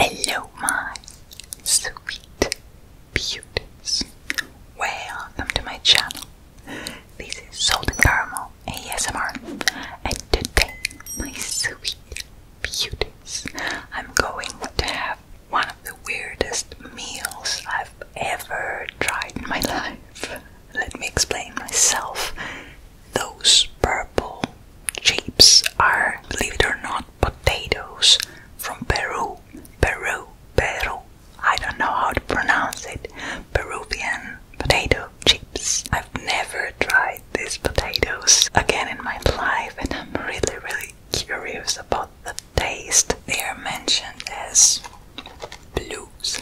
Hello, my sweet beauties. Welcome to my channel. This is Salt and Caramel ASMR, and today, my sweet beauties, I'm going to have one of the weirdest meals I've ever tried in my life. Let me explain myself. Those purple chips are, believe it or not, potatoes from Peru, Peru, Peru. I don't know how to pronounce it. Peruvian potato chips. I've never tried these potatoes again in my life, and I'm really, really curious about the taste. They are mentioned as blues,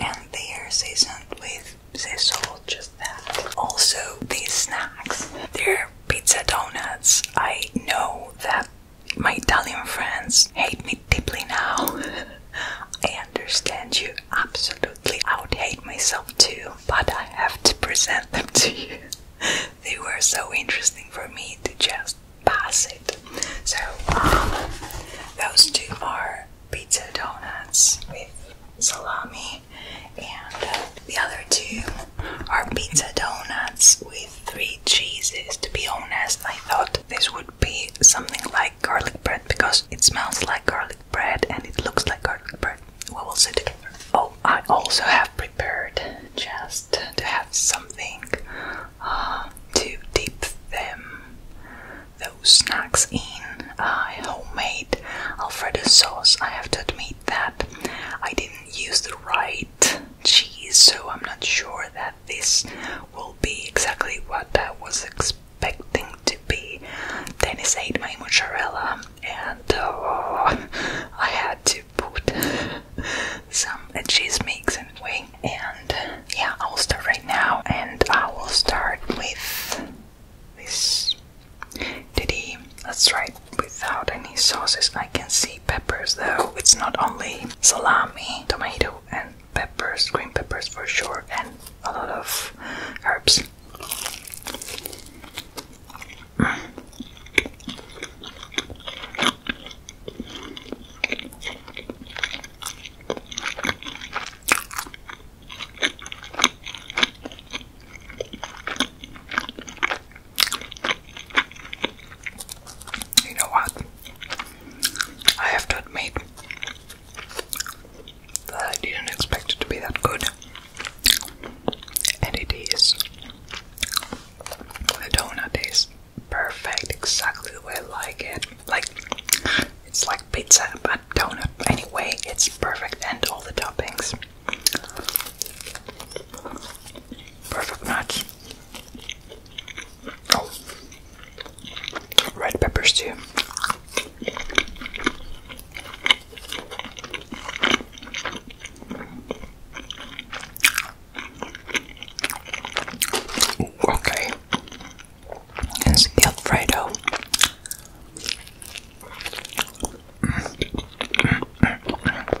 and they are seasoned with sea salt, just that. Also, these snacks, they're pizza donuts. I know that my Italian friends hate me deeply now. I understand you absolutely. I would hate myself too, but I have to present them to you. they were so interesting for me to just pass it. So, um, those two are pizza donuts with salami, and uh, the other two our pizza donuts with three cheeses. To be honest, I thought this would be something like garlic bread because it smells like garlic bread and it looks like garlic bread. We will see together. Oh, I also have prepared just to have something uh, to dip them those snacks in. Uh, homemade Alfredo sauce. I have to admit that I didn't use the right cheese, so I'm not sure that this will be exactly what I was expecting to be. Dennis ate my mozzarella, and oh, I had to put some cheese mix anyway. And yeah, I will start right now, and I will start with this did he? Let's try it without any sauces. I can see peppers though. It's not only salami, tomato, and peppers, green peppers for sure, and a lot of herbs. You know what? I have to admit that I didn't expect it to be that good. And it is. The donut is perfect, exactly the way I like it. Like, it's like pizza, but donut. Anyway, it's perfect, and all the toppings. Perfect match. Oh, red peppers too. Okay, and it's the Alfredo. Mm, mm, mm,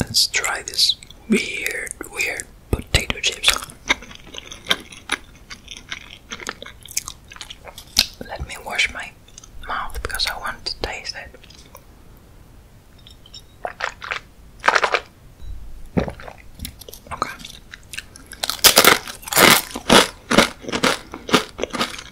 Let's try this weird, weird potato chips. Let me wash my mouth because I want to taste it. Okay.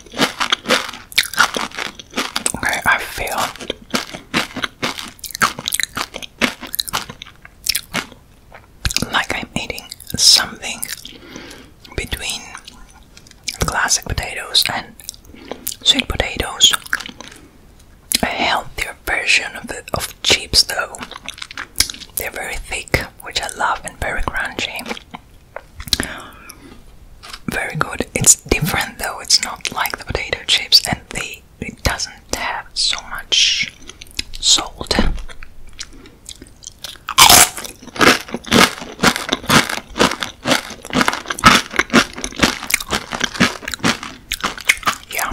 Okay, I feel like I'm eating something between classic potatoes and sweet potatoes. A healthier version of of chips though. They're very thick, which I love, and very crunchy. Very good. It's different though, it's not like the potato chips and they it doesn't have so much salt. Yeah.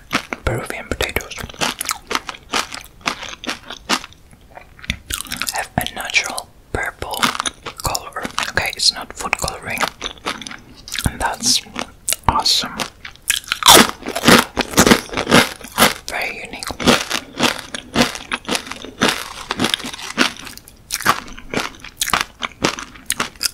Peruvian potatoes have a natural purple color. Okay, it's not food coloring, and that's awesome. Very unique.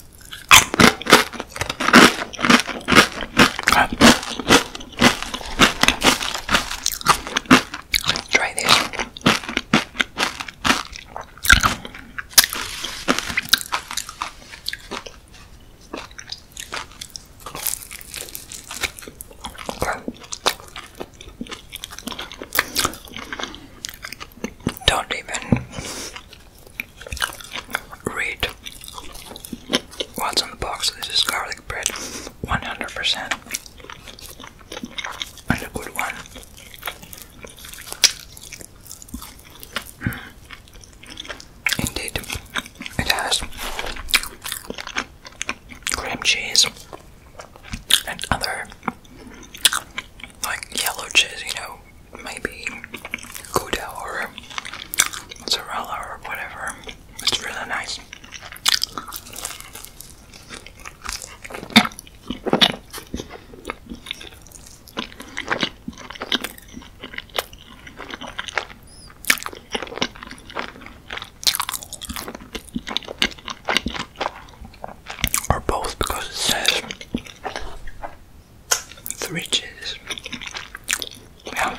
Let's try this. Okay. Don't even Read what's on the box. This is garlic bread, 100%, and a good one. Mm. Indeed, it has cream cheese and other like yellow cheese, you know, maybe gouda or mozzarella or whatever. It's really nice. Or both because it says the riches. Yeah.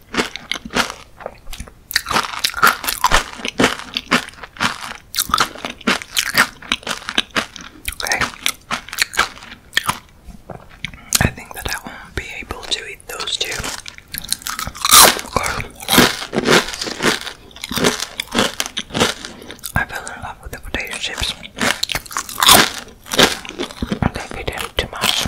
Okay. I think that I won't be able to eat those two. I fell in love with the potato chips. And they fit in too much.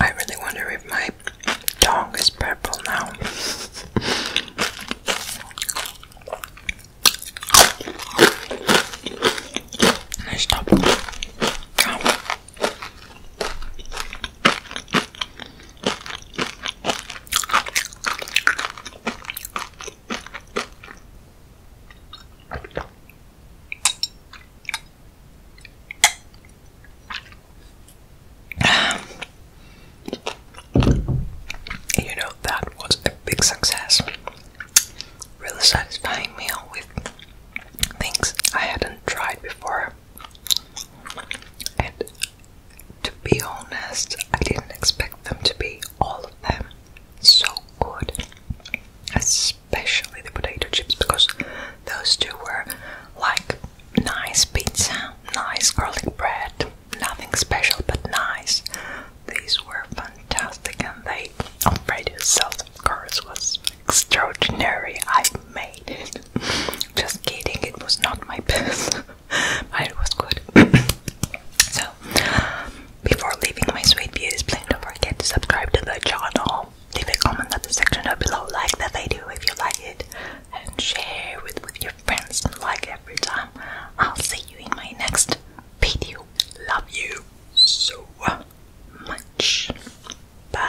I really wonder if my tongue is purple now. I stop. Um, you know, that was a big success really satisfying meal with things I hadn't tried before. And to be honest, I didn't expect them to be all of them so good, especially the potato chips because those two were like nice pizza, nice garlic bread, nothing special but nice, these were fantastic, and they I'm afraid, radio sales, of course, was extraordinary. I made it. Just kidding, it was not my best, but it was good. so, before leaving my sweet beauties, please don't forget to subscribe to the channel. Leave a comment in the section down below, like the video if you like it, and share with, with your friends. Like every time. I'll see you in my next video. Love you so much. Bye.